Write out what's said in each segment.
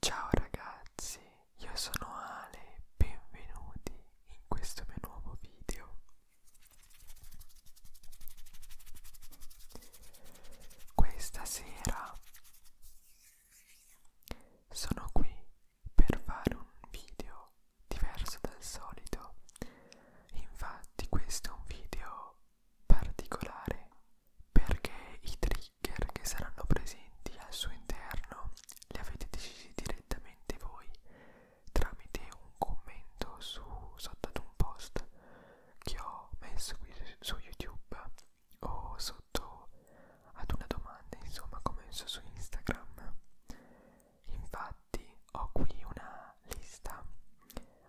Ciao ragazzi, io sono Ale, benvenuti in questo mio nuovo video. Questa sera sono qui per fare un video diverso dal solito. Infatti questo è un video particolare perché i trigger che saranno presenti al suo interno li avete decisi direttamente voi tramite un commento su, sotto ad un post che ho messo qui su YouTube o sotto ad una domanda insomma come ho messo su Instagram. Infatti ho qui una lista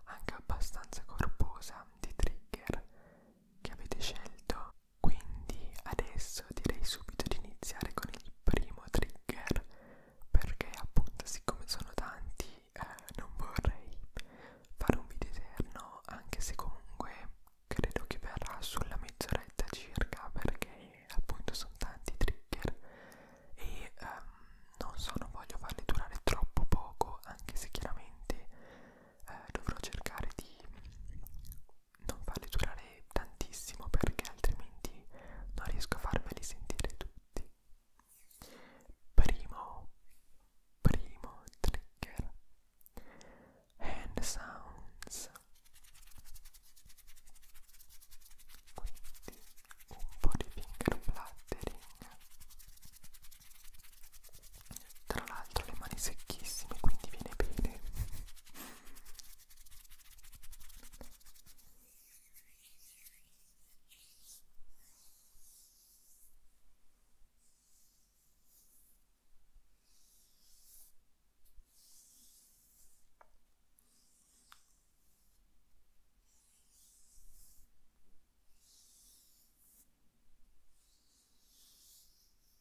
anche abbastanza corposa di trigger che avete scelto quindi adesso direi subito di iniziare con il primo trigger perché appunto siccome sono tanti eh, non vorrei fare un video eterno anche se comunque credo che verrà sulla mezz'oretta circa perché appunto sono tanti trigger e ehm, non so non voglio farli durare troppo poco anche se chiaramente eh, dovrò cercare di non farli durare tantissimo perché altrimenti non riesco a farmeli sentire tutti. Primo, primo trigger. Hand sounds. Quindi un po' di finger plattering tra l'altro le mani secchissime quindi viene bene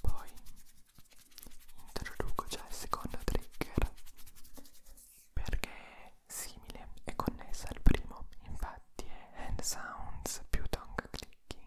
Poi introduco già il secondo trigger perché è simile e connessa al primo, infatti è hand sounds più tongue clicking.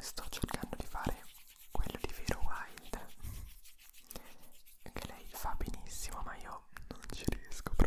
sto cercando di fare quello di Vero Wild che lei fa benissimo ma io non ci riesco proprio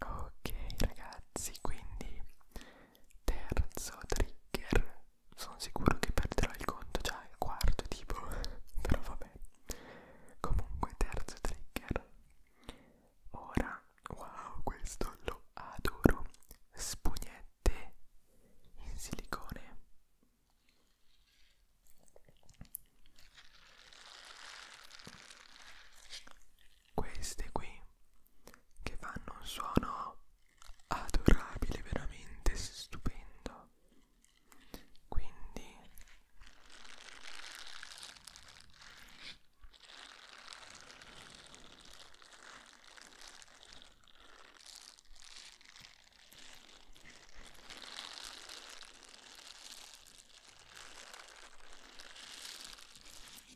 Ok ragazzi, quindi terzo trigger. Sono sicuro che perderò il conto già il quarto tipo, però vabbè. Comunque terzo trigger. Ora, wow, questo lo adoro. Spugnette in silicone queste qui che fanno un suono adorabile veramente stupendo quindi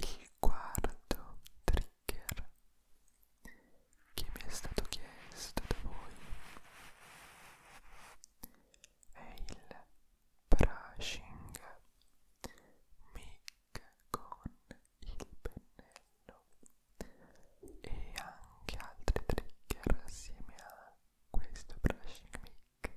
Il quarto trigger che mi è stato chiesto da voi è il brushing mic con il pennello e anche altri trigger assieme a questo brushing mic. Ora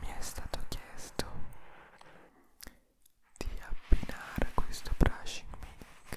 Mi è stato chiesto di abbinare questo brushing mink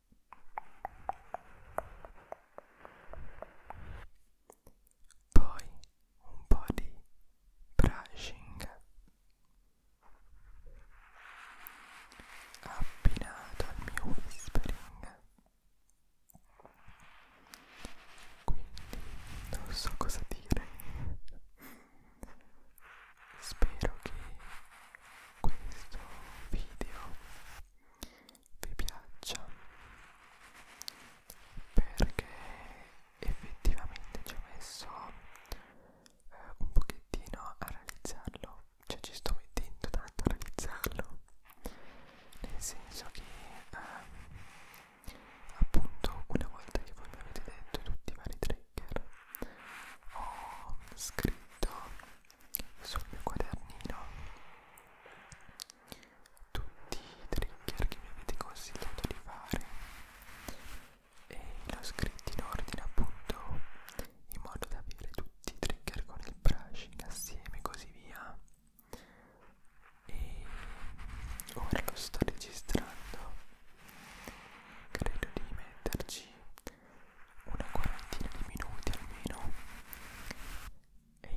poi un po' di brushing abbinato al mio whispering quindi non so cosa dire spero che questo video vi piaccia perché effettivamente ci ho messo eh, un pochettino a realizzarlo cioè ci sto mettendo tanto a realizzarlo nel senso che eh, appunto una volta che voi mi avete detto tutti i vari trigger ho scritto sul mio quadernino tutti i trigger che mi avete consigliato di fare e l'ho scritto in ordine appunto in modo da avere tutti i trigger con il brushing assieme e così via e ora lo sto registrando credo di metterci una quarantina di minuti almeno e,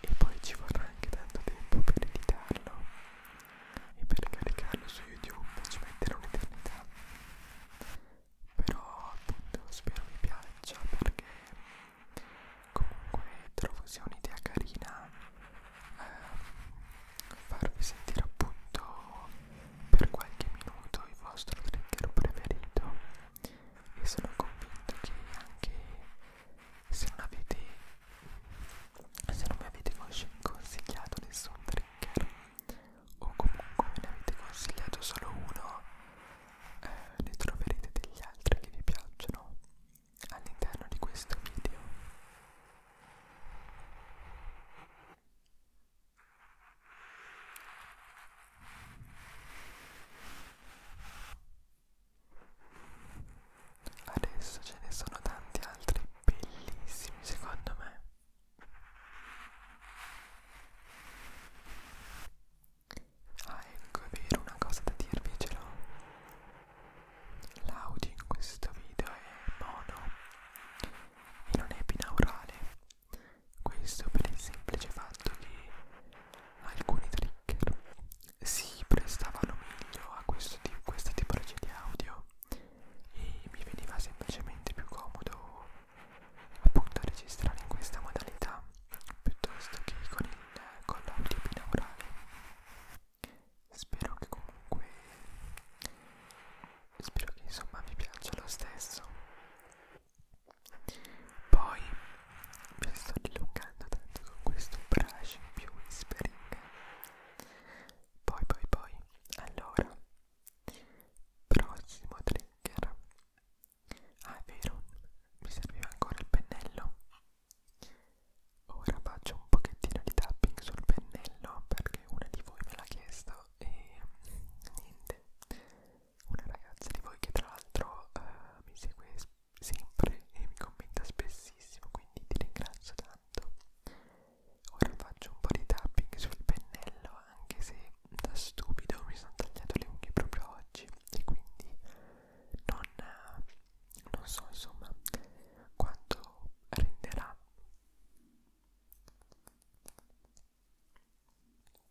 e poi ci vorrà anche tanto tempo per editarlo e per caricarlo su YouTube ci metterà un'eternità però appunto spero vi piaccia perché comunque trovo sia un'idea carina eh, farvi sentire appunto per qualche minuto il vostro trigger preferito e sono convinto che anche se non avete se non mi avete consigliato nessun trigger o comunque me ne avete consigliato solo uno eh, ne troverete degli altri che vi piacciono all'interno di questo video Adesso ce ne sono tanti altri bellissimi secondo me. Ah ecco è vero una cosa da dirvi ce l'ho. L'audio in questo video è mono e non è binaurale questo per il semplice fatto che alcuni trigger si prestavano meglio a questo tipo, questa tipologia di audio e mi veniva semplicemente più comodo appunto registrare in questa modalità piuttosto che con, il, con l'audio binaurale. Spero che comunque spero che insomma vi piaccia lo stesso poi mi sto dilungando tanto con questo brush più whispering. Poi, poi, poi, allora, prossimo trigger. Ah, è vero, mi serviva ancora il pennello. Ora faccio un pochettino di tapping sul pennello perché una di voi me l'ha chiesto e niente una ragazza di voi che tra l'altro uh, mi segue sempre e mi commenta spessissimo, quindi ti ringrazio tanto. Ora faccio un po' di tapping sul pennello, anche se da stupido mi sono tagliato le unghie proprio oggi e quindi non, non so insomma quanto renderà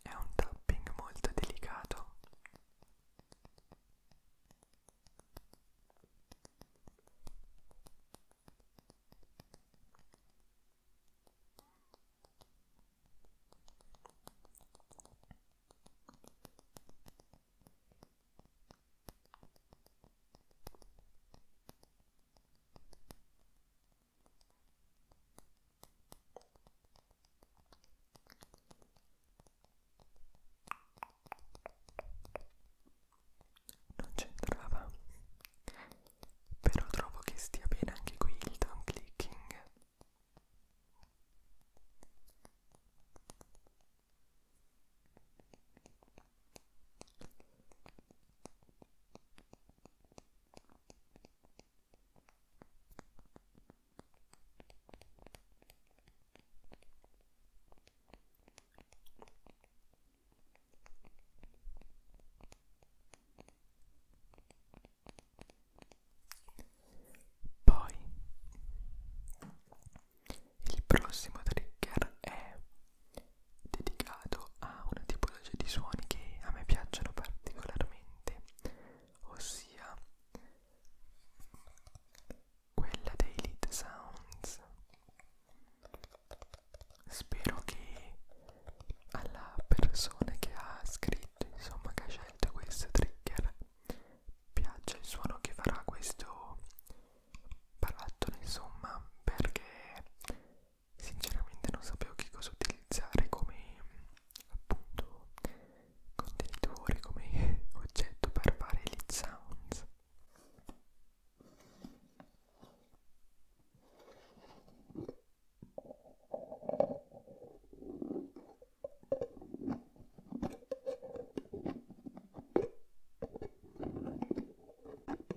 È un tapping molto delicato. Non c'entrava, però trovo che stia bene anche qui il thumb clicking. Poi il prossimo trigger è dedicato a una tipologia di suoni che a me piacciono particolarmente, ossia quella dei lead sounds. Spero che alla persona che ha scritto, insomma, che ha scelto questo trigger, piaccia il suono che farà questo barattolo, insomma, perché sinceramente non sapevo che cosa utilizzare come appunto contenitore, come oggetto per fare lead sounds.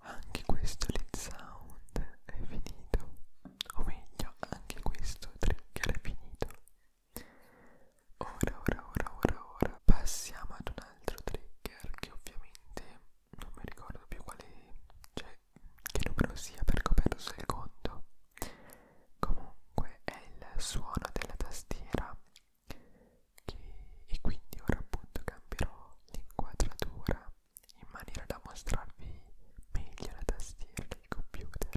Anche questo lead sound è finito, o meglio, anche questo trigger è finito. Ora, ora, ora, ora, ora passiamo ad un altro trigger che ovviamente non mi ricordo più quale, cioè che numero sia perché ho perso il conto. Comunque è il suono della tastiera che, e quindi ora appunto cambierò l'inquadratura in maniera da mostrarvi meglio la tastiera del computer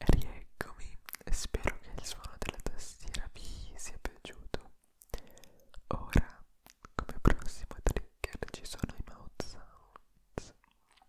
Rieccomi, spero che il suono della tastiera vi sia piaciuto. Ora, come prossimo trigger ci sono i mouth sounds.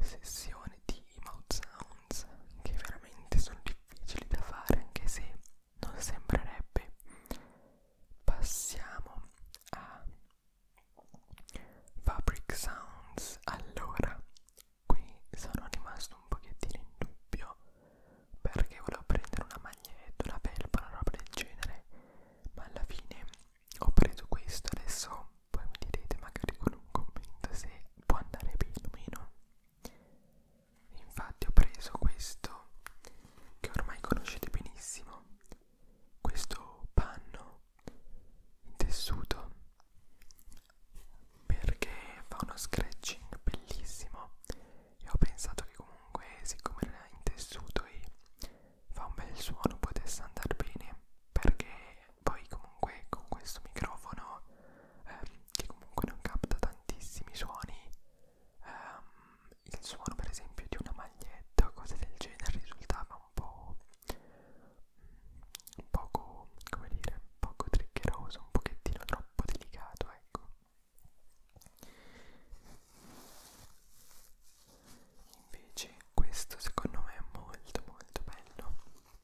sessione di mouth sounds che veramente sono difficili da fare anche se non sembrerebbe passiamo a fabric sounds allora qui sono rimasto un pochettino in dubbio perché volevo prendere una maglietta una felpa una roba del genere ma alla fine ho preso questo adesso poi mi direte magari con un commento se può andare bene o meno infatti ho preso questo che ormai conoscete benissimo questo panno in tessuto perché fa uno scratching bellissimo e ho pensato che comunque siccome era in tessuto e fa un bel suono potesse andare bene perché poi comunque con questo microfono ehm, che comunque non capta tantissimi suoni ehm, il suono per esempio di una maglietta o cose del genere risultava un po' un mm, poco come dire poco triccheroso un pochettino troppo delicato ecco invece questo secondo me è molto molto bello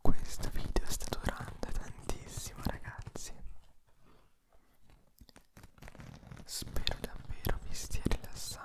questo video sta durando tantissimo ragazzi spero davvero vi stia rilassando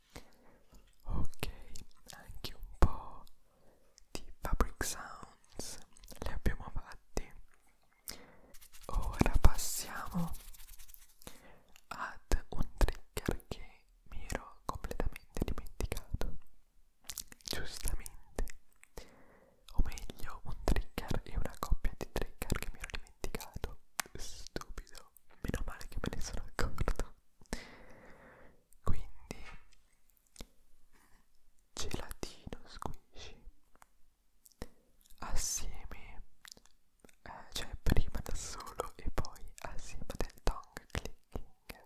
ok anche un po' di fabric sounds li abbiamo fatti ora passiamo ad un trigger che mi ero completamente dimenticato giustamente o meglio un trigger e una coppia di trigger che mi ero dimenticato dimenticato, stupido, meno male che me ne sono accorto. Quindi, gelatino squishy assieme, eh, cioè prima da solo e poi assieme del tongue clicking.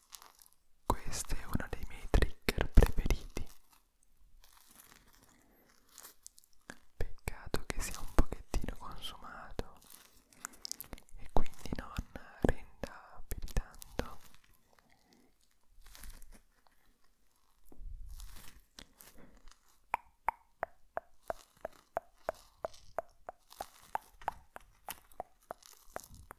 Questo è uno dei miei trigger preferiti. Peccato che sia un pochettino consumato e quindi non renda più di tanto.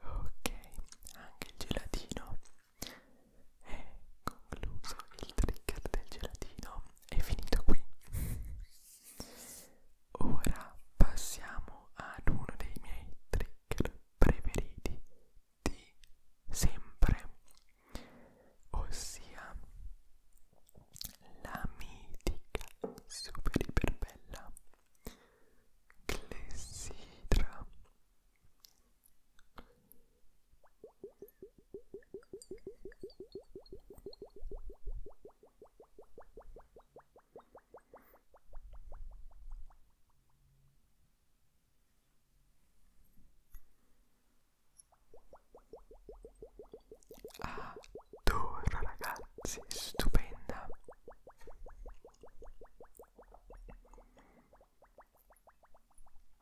Ok, anche il gelatino è concluso il trigger del gelatino è finito qui ora passiamo ad uno dei miei trigger preferiti di sempre ossia la mitica super iper bella clessidra Adoro ragazzi, stupenda.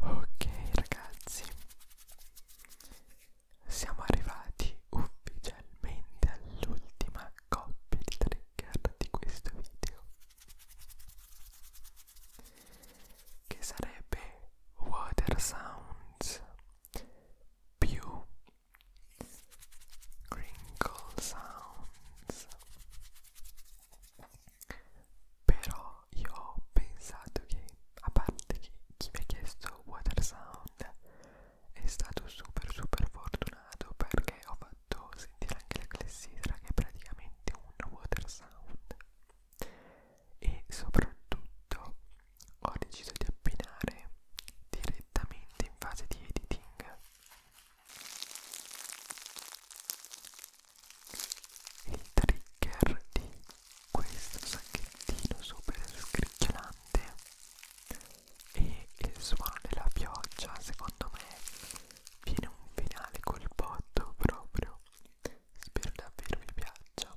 Ok ragazzi, siamo arrivati ufficialmente all'ultima coppia di trigger di questo video che sarebbe Water Sounds più Crinkle Sounds però io ho pensato che a parte che chi mi ha chiesto Water Sound è stato super super fortunato perché ho fatto sentire anche la clessidra che è praticamente un Water Sound e soprattutto ho deciso di abbinare direttamente in fase di editing il trigger di questo sacchettino super scricchiolante e il suono della pioggia secondo me viene un finale col botto proprio spero davvero vi piaccia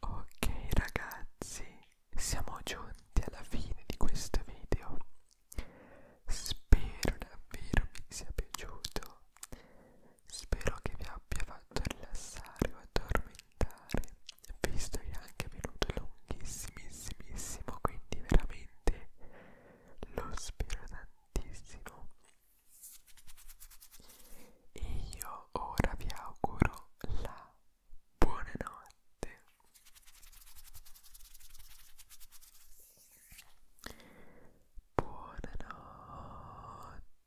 Ok ragazzi, siamo giunti alla fine di questo video. Spero davvero vi sia piaciuto. Spero che vi abbia fatto rilassare o addormentare, visto che è anche venuto lunghissimissimissimo, quindi veramente lo spero tantissimo. E io ora vi auguro la buonanotte. Buonanotte.